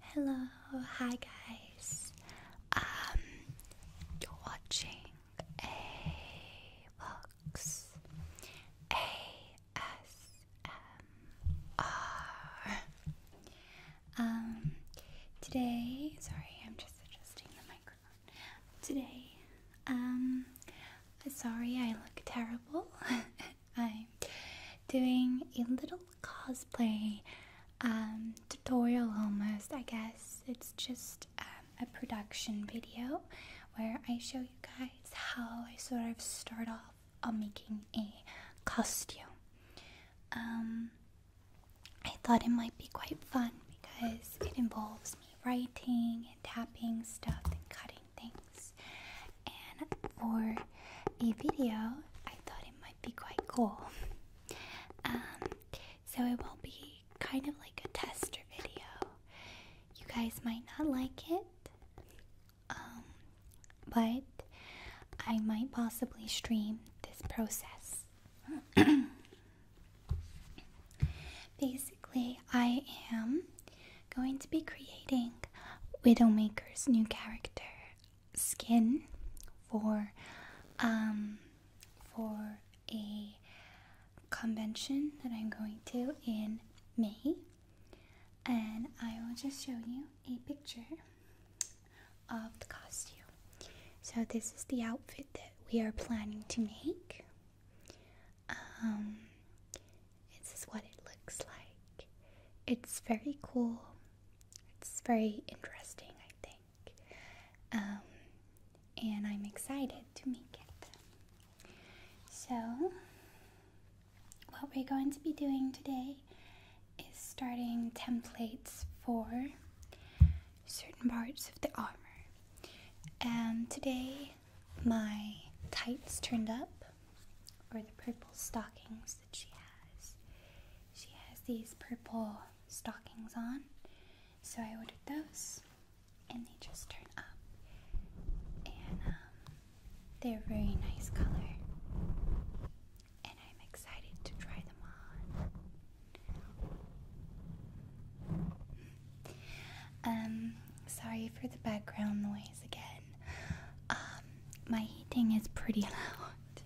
Hello, hi guys. Um, you're watching a box A S M R. Um, today, sorry, I'm just adjusting the microphone. Today, um, sorry, I look terrible. I'm doing a little cosplay um, tutorial almost, I guess. It's just um, a production video where I show you guys how I sort of start off on making a costume. Um, I thought it might be quite fun because it involves me writing and tapping stuff and cutting things and for a video I thought it might be quite cool. Um, so it will be kind of like a tester video. You guys might not like it, um, but I might possibly stream this process. Basically, I am going to be creating Widowmaker's new character skin for um, for a convention that I'm going to in May, and I will just show you a picture of the costume. So this is the outfit that we are planning to make. Um, this is what it looks like. It's very cool. It's very interesting, I think. Um, and I'm excited to make it. So, what we're going to be doing today is starting templates for certain parts of the armor. And today, my tights turned up, or the purple stockings she has. She has these purple stockings on, so I ordered those, and they just turn up. And um, they're very nice color, and I'm excited to try them on. Um, sorry for the background noise again. Um, my heating is pretty loud.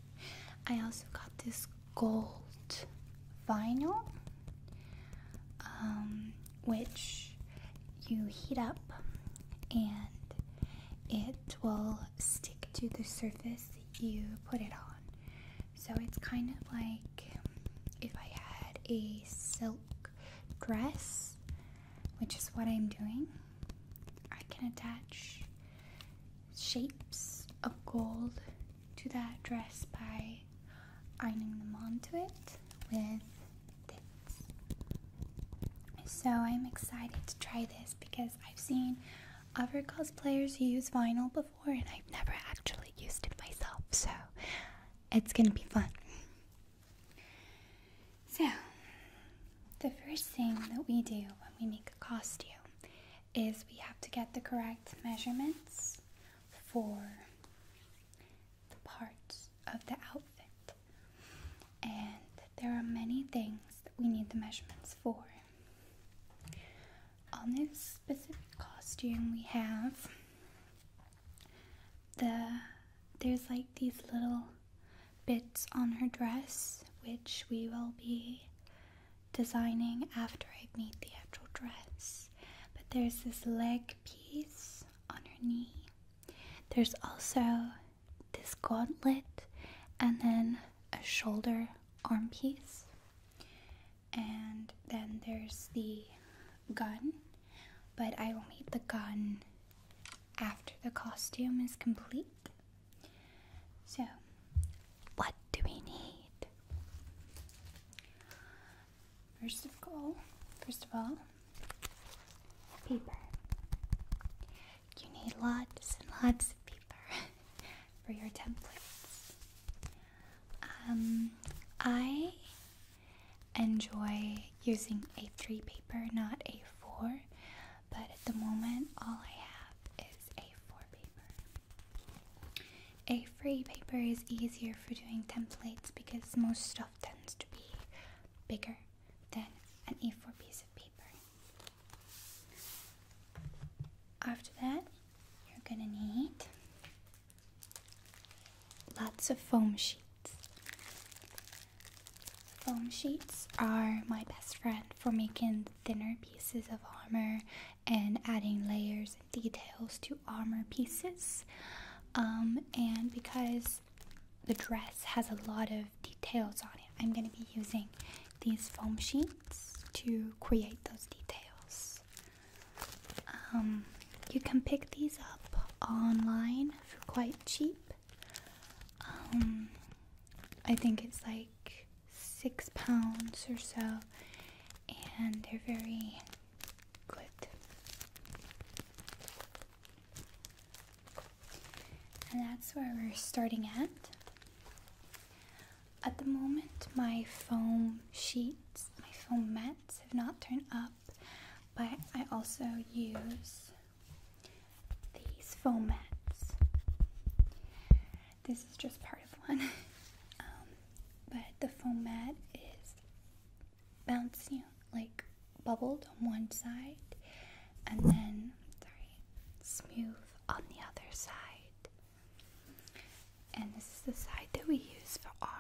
I also got this gold vinyl, um, which you heat up and it will stick to the surface you put it on. So it's kind of like if I had a silk dress, which is what I'm doing. I can attach shapes of gold to that dress by ironing them onto it with this. So I'm excited to try this because I've seen other cosplayers use vinyl before and I've never actually used it myself, so it's gonna be fun. So, the first thing that we do when we make a costume is we have to get the correct measurements for the parts of the outfit. And there are many things that we need the measurements for. On this specific costume, we have the there's like these little bits on her dress, which we will be designing after I made the actual dress. But there's this leg piece on her knee. There's also this gauntlet and then a shoulder arm piece. And then there's the gun, but I will make the gun after the costume is complete. So, what do we need? First of all, first of all, paper. You need lots and lots of paper for your templates. Um, I enjoy using A3 paper, not A4, but at the moment all I have is A4 paper. a free paper is easier for doing templates because most stuff tends to be bigger than an A4 piece of paper. After that, you're gonna need lots of foam sheets. Foam sheets are my best friend for making thinner pieces of armor and adding layers and details to armor pieces. Um, and because the dress has a lot of details on it, I'm going to be using these foam sheets to create those details. Um, you can pick these up online for quite cheap. Um, I think it's like six pounds or so, and they're very good. And that's where we're starting at. At the moment, my foam sheets, my foam mats have not turned up, but I also use these foam mats. This is just part of one. Um, but the foam mat is bouncy, like bubbled on one side, and then, sorry, smooth on the other side. And this is the side that we use for armor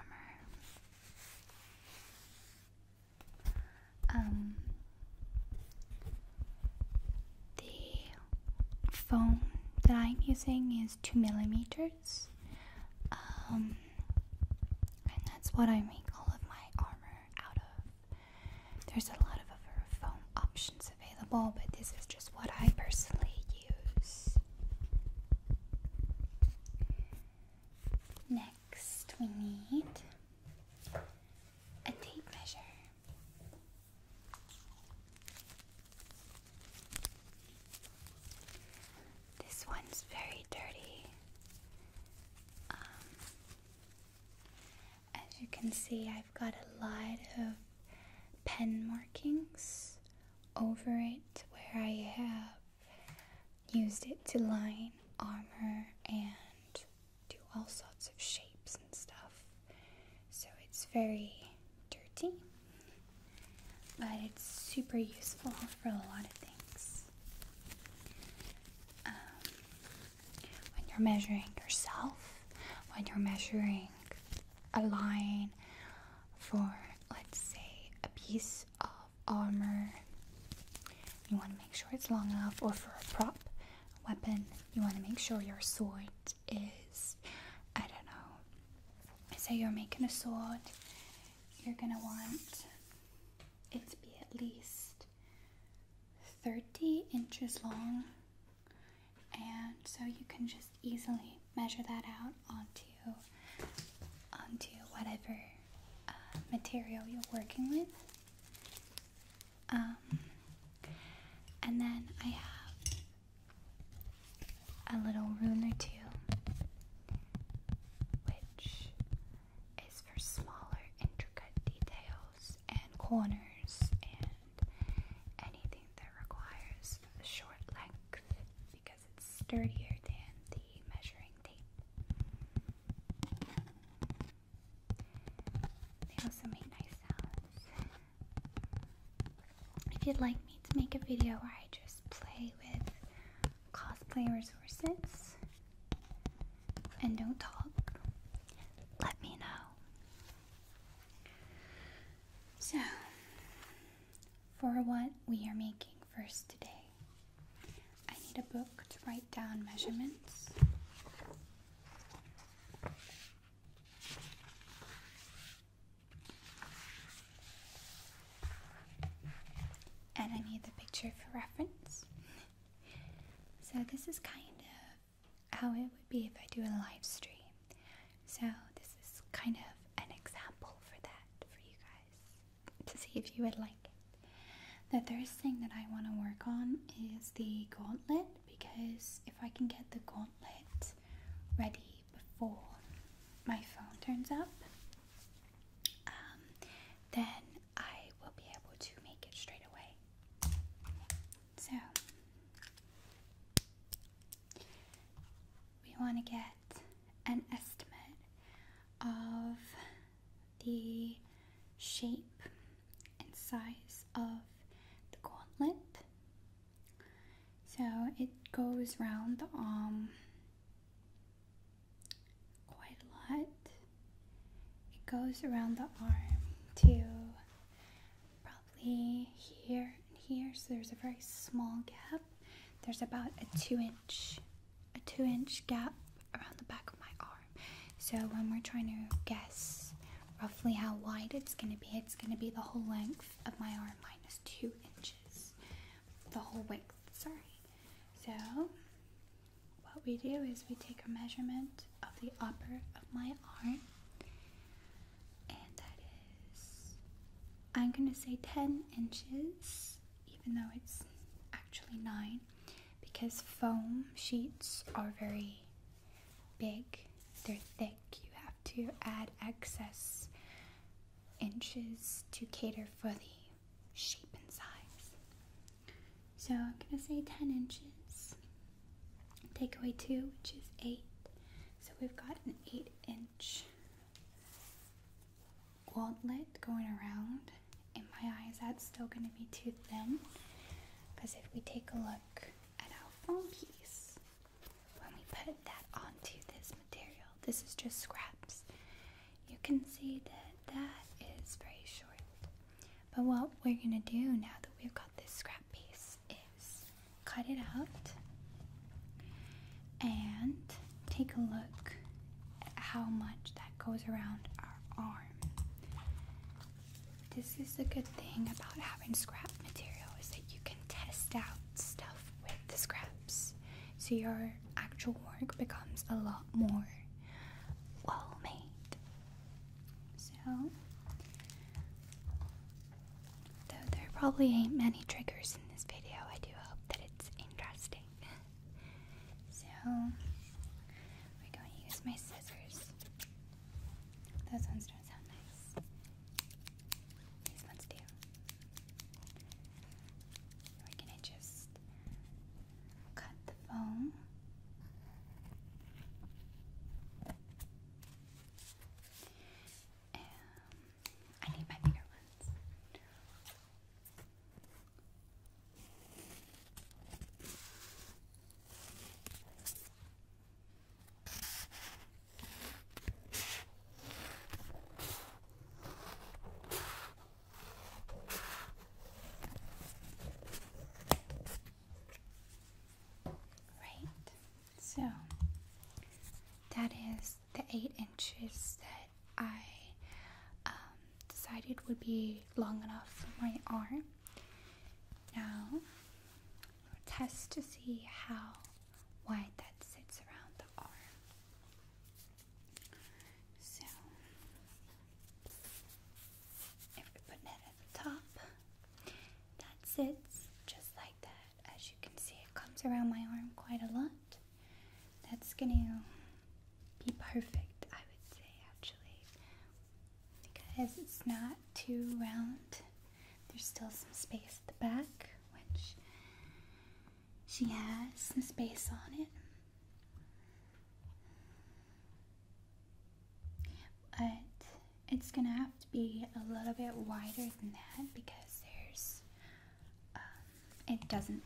um, the foam that I'm using is two millimeters, um, and that's what I make all of my armor out of. There's a lot of other foam options available, but this is just what I personally use. Next, we need a tape measure. This one's very dirty. Um, as you can see, I've got a lot of pen markings over it where I have used it to line armor and do all sorts of shapes and stuff. So it's very dirty, but it's super useful for a lot of things. Um, when you're measuring yourself, when you're measuring a line for, let's say, a piece of armor, you want to make sure it's long enough, or for a prop, weapon, you want to make sure your sword is, I don't know, say you're making a sword, you're going to want it to be at least 30 inches long. And so you can just easily measure that out onto, onto whatever uh, material you're working with. Um, and then I have a little rune or two, which is for smaller, intricate details and corners and anything that requires a short length because it's sturdier than the measuring tape. They also make nice sounds. If you'd like me to make a video where I just play with cosplay resources and don't talk, let me know. So, for what we are making first today, I need a book to write down measurements. And I need the picture for reference. so, this is kind of how it would be if I do a live stream. So, this is kind of an example for that for you guys to see if you would like the third thing that I want to work on is the gauntlet because if I can get the gauntlet ready before my phone turns up, um, then I will be able to make it straight away. So, we want to get an estimate of the shape and size of the gauntlet. So it goes around the arm quite a lot. It goes around the arm to probably here and here. So there's a very small gap. There's about a two inch a two inch gap around the back of my arm. So when we're trying to guess roughly how wide it's going to be, it's going to be the whole length of my arm minus two inches. The whole width, sorry. So what we do is we take a measurement of the upper of my arm. And that is, I'm going to say 10 inches, even though it's actually 9 because foam sheets are very big, they're thick. You have to add excess inches to cater for the shape and size. So I'm going to say 10 inches. Take away 2, which is 8. So we've got an 8 inch gauntlet going around in my eyes, that's still going to be too thin? Because if we take a look at our foam piece, when we put that onto this material, this is just scraps, you can see that that is very short. But what we're going to do now that we've got this scrap piece is cut it out and take a look how much that goes around our arm. This is the good thing about having scrap material is that you can test out stuff with the scraps. So your actual work becomes a lot more well made. So though there probably ain't many triggers in this video, I do hope that it's interesting. So we're going to use my scissors. Those ones don't sound nice. These ones do. We're going to just cut the foam. I need my bigger ones. Right, so that is the eight inches that I um, decided would be long enough for my arm. Now, test to see how wide that sits around the arm. So, if we put that at the top, that sits just like that. As you can see, it comes around my arm quite a lot. That's going to be perfect, I would say actually, because it's not too round. There's still some space at the back, which she has some space on it. But it's gonna have to be a little bit wider than that because there's um, it doesn't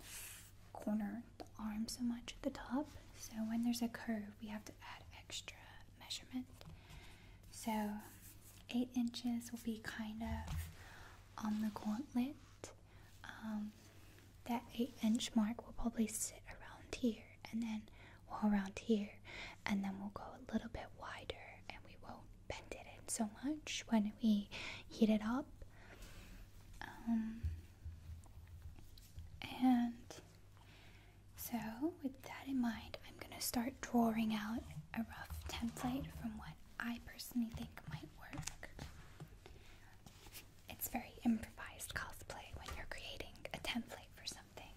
corner the arm so much at the top. So when there's a curve, we have to add extra measurement. So eight inches will be kind of on the gauntlet. Um, that eight inch mark will probably sit around here and then around here and then we'll go a little bit wider and we won't bend it in so much when we heat it up um, and so, with that in mind, I'm going to start drawing out a rough template from what I personally think might work. It's very improvised cosplay when you're creating a template for something.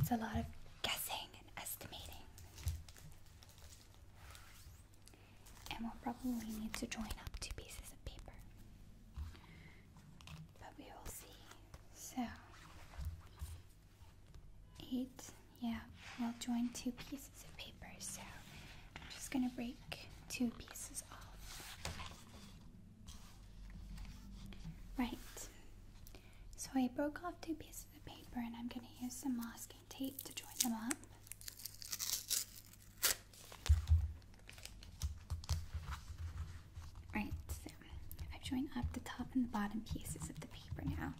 It's a lot of guessing and estimating and we'll probably need to join up two pieces of paper. But we will see. So, eight, yeah, we'll join two pieces of paper. So, I'm just gonna break two pieces off. Right. So, I broke off two pieces of paper and I'm gonna use some masking tape to join them up. Right, so I've joined up the top and the bottom pieces of the paper now.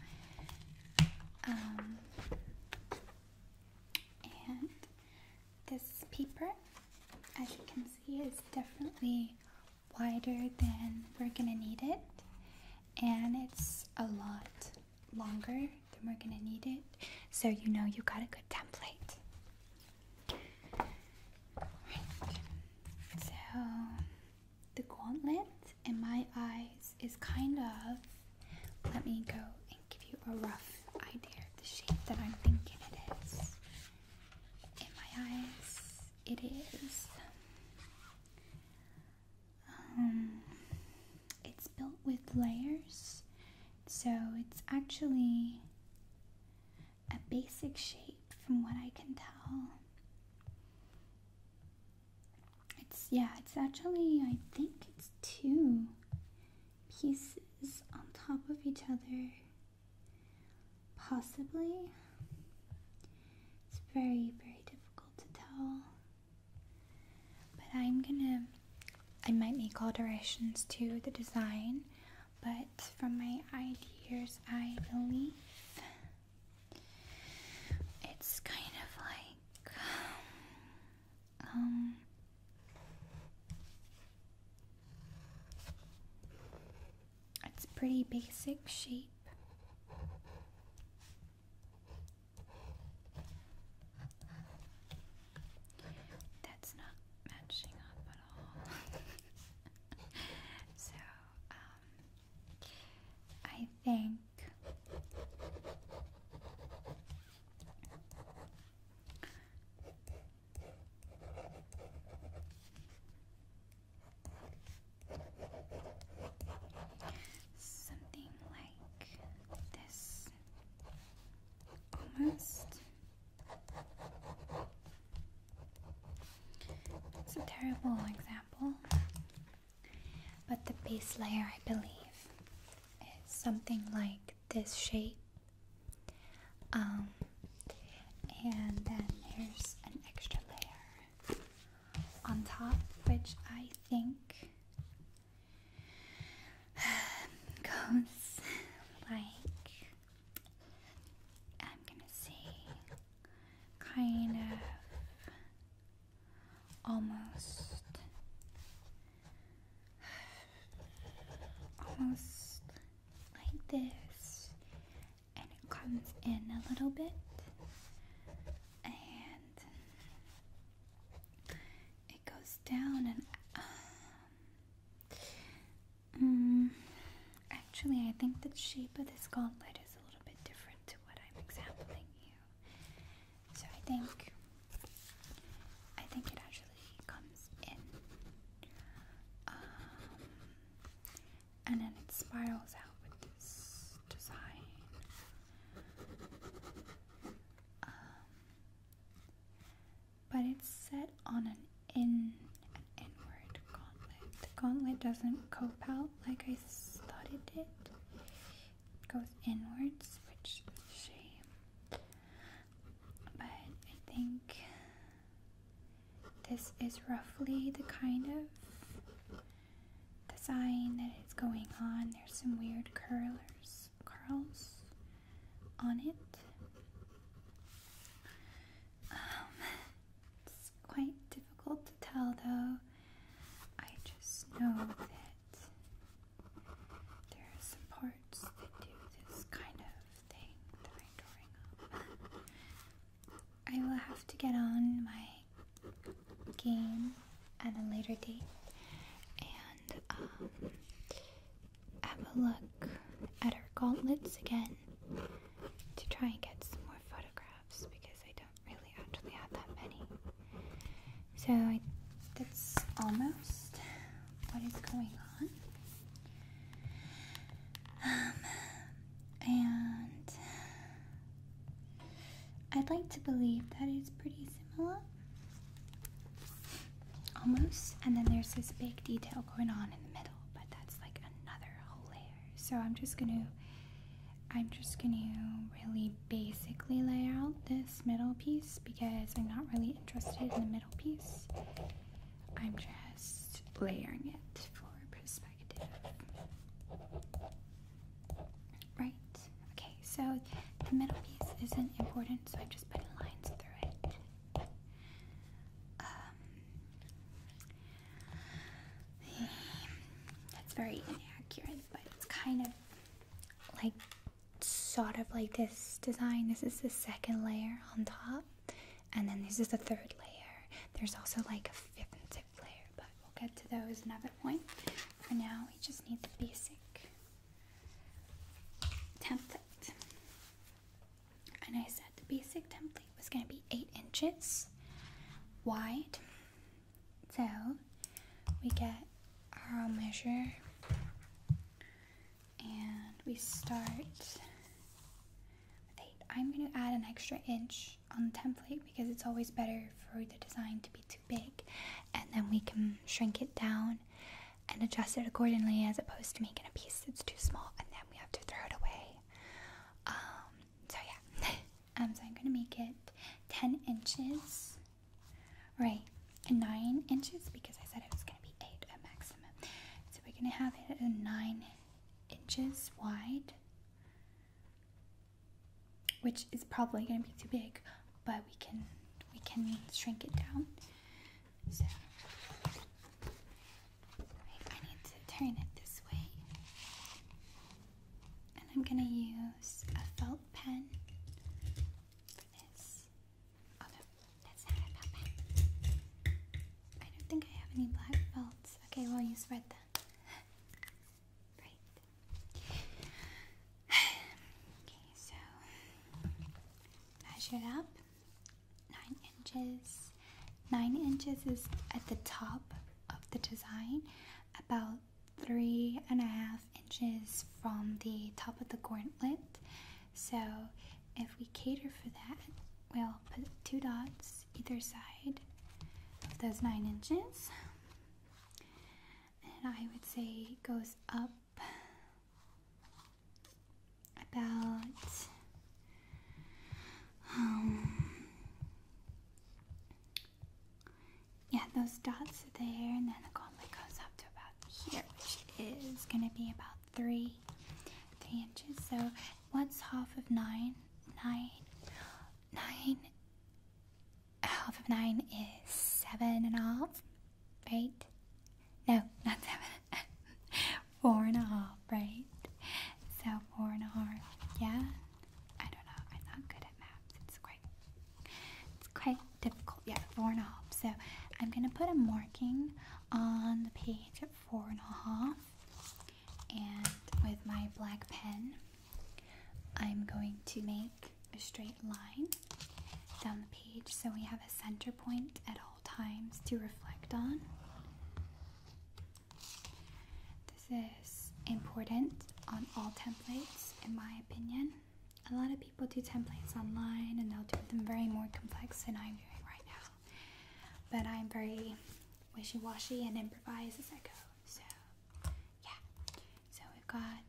Um, and this paper, as you can see, is definitely wider than we're gonna need it, and it's a lot longer then we're gonna need it so you know you got a good template. So the gauntlet in my eyes is kind of let me go and give you a rough idea of the shape that I'm thinking it is. In my eyes, it is um, it's built with layers so it's actually a basic shape from what I can tell. It's, yeah, it's actually, I think it's two pieces on top of each other. Possibly. It's very, very difficult to tell. But I'm gonna, I might make alterations to the design, but from my ideas, I believe it's kind of like, um, it's pretty basic shape. That's not matching up at all. so, um, I think something like this almost. It's a terrible example, but the base layer, I believe, is something like this shape. Um, and then there's an extra layer on top, which I think goes like I'm gonna say kind of almost almost like this and it comes in a little bit and it goes down and um, mm, actually I think the shape of this gauntlet is a little bit different to what I'm examining you. So I think I think it actually comes in um, and then it spirals out with this design. Um, but it's set on an in an inward gauntlet. The gauntlet doesn't cope out like I thought it did. It goes inwards, which is a shame. But I think this is roughly the kind of design that is going on. There's some weird curlers curls on it. Um, it's quite difficult to tell though. I just know that there are some parts that do this kind of thing I will have to get on my game at a later date um, have a look at our gauntlets again to try and get some more photographs because I don't really actually have that many. So I, that's almost what is going on. Um, and I'd like to believe that it's pretty similar. Almost. And then there's this big detail going on in the middle, but that's like another whole layer. So I'm just gonna I'm just gonna really basically lay out this middle piece because I'm not really interested in the middle piece. I'm just layering it for perspective. Right. Okay, so the middle piece isn't important, so i have just put lines through it. Um, that's very inaccurate, but it's kind of like sort of like this design. This is the second layer on top, and then this is the third layer. There's also like a fifth and sixth layer, but we'll get to those another point. For now, we just need the basic template. And I said the basic template was going to be 8 inches wide. So we get our measure and we start with 8. I'm going to add an extra inch on the template because it's always better for the design to be too big and then we can shrink it down and adjust it accordingly as opposed to making a piece that's too small and then we have to throw it away. Um, so yeah, um, so I'm gonna make it 10 inches, right, 9 inches because I said it was gonna be 8 at maximum. So we're gonna have it at 9 inches wide which is probably going to be too big, but we can we can shrink it down. So I need to turn it this way, and I'm going to use a felt pen for this. Oh no, that's not a felt pen. I don't think I have any black felts. Okay, well you spread them. Right. okay, so measure up. Nine inches. Nine inches is at the top of the design, about three and a half inches from the top of the gauntlet. So if we cater for that, we'll put two dots either side of those nine inches and I would say goes up about um yeah those dots are there and then it goblet goes up to about here which is gonna be about three three inches so what's half of nine nine nine half of 9 is seven and and right? No, not 7. and a half, right? So four and a half. yeah? I don't know. I'm not good at maps. It's quite, it's quite difficult. Yeah, four and a half. So I'm going to put a marking on the page at four and a half. And with my black pen, I'm going to make a straight line down the page so we have a center point at all times to reflect on. This is important on all templates, in my opinion. A lot of people do templates online and they'll do them very more complex than I'm doing right now. But I'm very wishy washy and improvise as I go, so yeah. So we've got,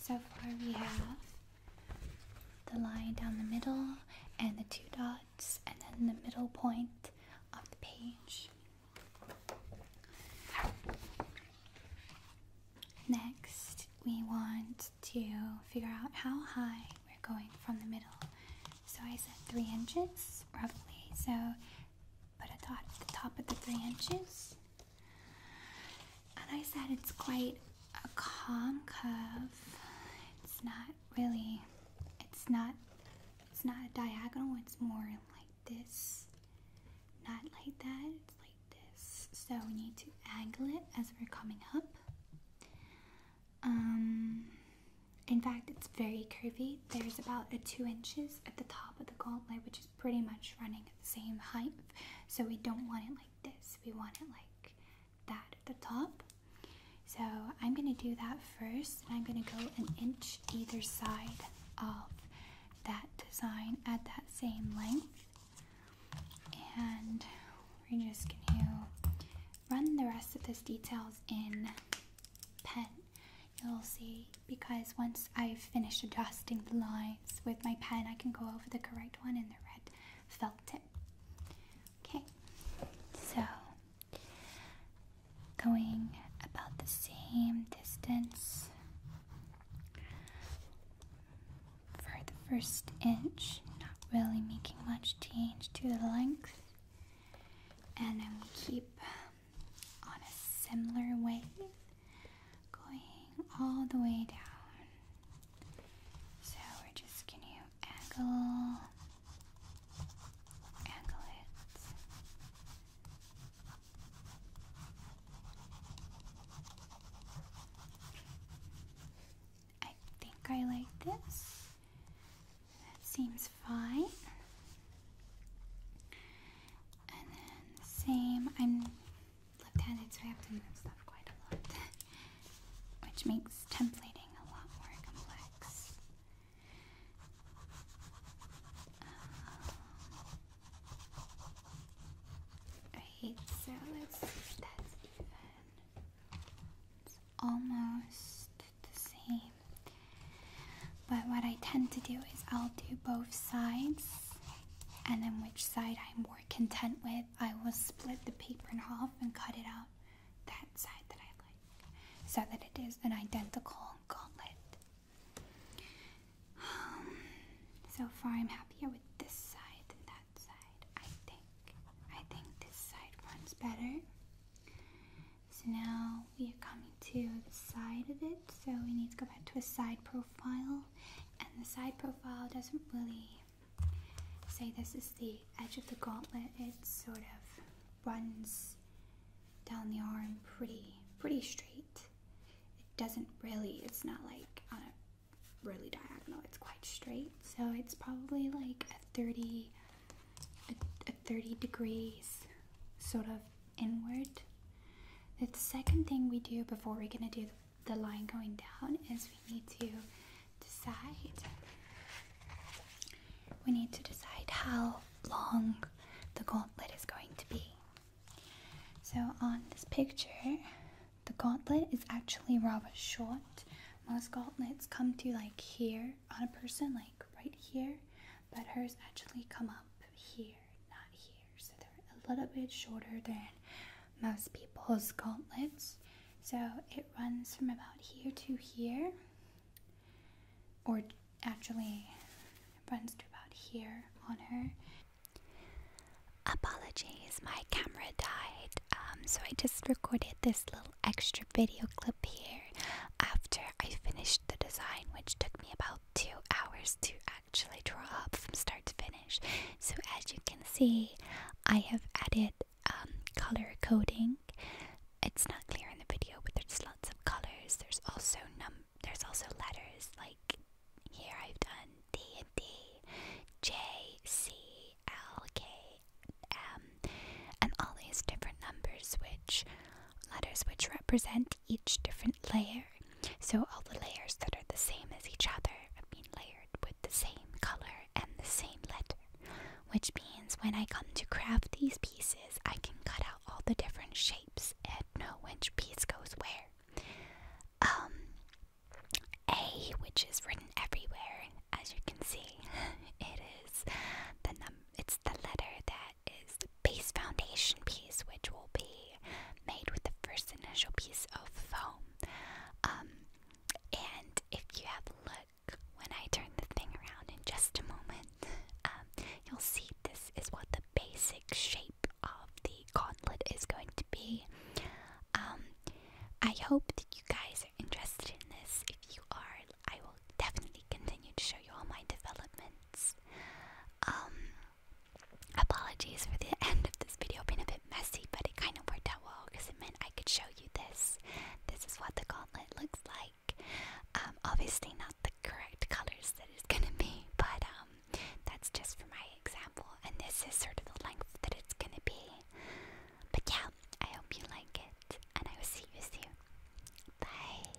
so far we have the line down the middle and the two dots and then the middle point of the page. Next, we want to figure out how high we're going from the middle. So I said three inches, roughly. So put a dot at the top of the three inches. And I said it's quite a calm curve. It's not really, it's not, it's not a diagonal. It's more like this, not like that. It's like this. So we need to angle it as we're coming up. Um, in fact, it's very curvy. There's about a two inches at the top of the gauntlet, which pretty much running at the same height. So we don't want it like this. We want it like that at the top. So I'm going to do that first. And I'm going to go an inch either side of that design at that same length. And we're just going to run the rest of this details in pen. You'll see because once I've finished adjusting the line with my pen, I can go over the correct one in the red felt tip. Okay, so going about the same distance for the first inch, not really making much change to the length, and I'm keep on a similar way going all the way down. So we're just going to angle, angle it. I think I like this. That seems fine. And then same, I'm left-handeds so I have to move stuff quite a lot, which makes templating a lot more complex. Um, right, so let's see if that's even. It's almost the same. But what I tend to do is I'll do both sides and then which side I'm more content with, I will split the paper in half and cut it out that side that I like so that it is an identical gauntlet. Um, so far, I'm happier with this side than that side. I think. I think this side runs better. So now we are coming to the side of it, so we need to go back to a side profile and the side profile doesn't really say this is the edge of the gauntlet. It sort of runs down the arm pretty pretty straight. It doesn't really it's not like on a really diagonal, it's quite straight. So it's probably like a 30 a, a 30 degrees sort of inward. The second thing we do before we're gonna do the line going down is we need to decide. We need to decide how long the gauntlet is going to be. So on this picture, the gauntlet is actually rather short. Most gauntlets come to like here on a person, like right here, but hers actually come up here, not here. So they're a little bit shorter than most people's gauntlets. So it runs from about here to here, or actually runs to about here on her. Apologies, my camera died, um, so I just recorded this little extra video clip here after I finished the design, which took me about two hours to actually draw up from start to finish. So as you can see, I have added um, color coding. It's not clear in the video, but there's lots of colors. There's also num. There's also letters like here. I've done D and D, J, C, L, K, M, and all these different numbers, which letters which represent each different layer. So all the layers that are the same as each other have been layered with the same color and the same letter. Which means when I come to craft these pieces, I can cut out all the different shapes and know which piece goes where. Um, A, which is written everywhere, as you can see, it is the num. It's the letter that is the base foundation piece, which will be made with the first initial piece of foam. Um, and if you have a look when I turn the thing around in just a moment, um, you'll see this is what the basic shape of the gauntlet is going to be. Um, I hope that you guys are interested in this. If you are, I will definitely continue to show you all my developments. Apologies for the end of this video being a bit messy, but it kind of worked out well because it meant I could show you this. This is what the gauntlet looks like. Um, obviously not the correct colors that it's gonna be, but um, that's just for my example. And this is sort of the length that it's gonna be. But yeah, I hope you like it, and I will see you soon. Bye.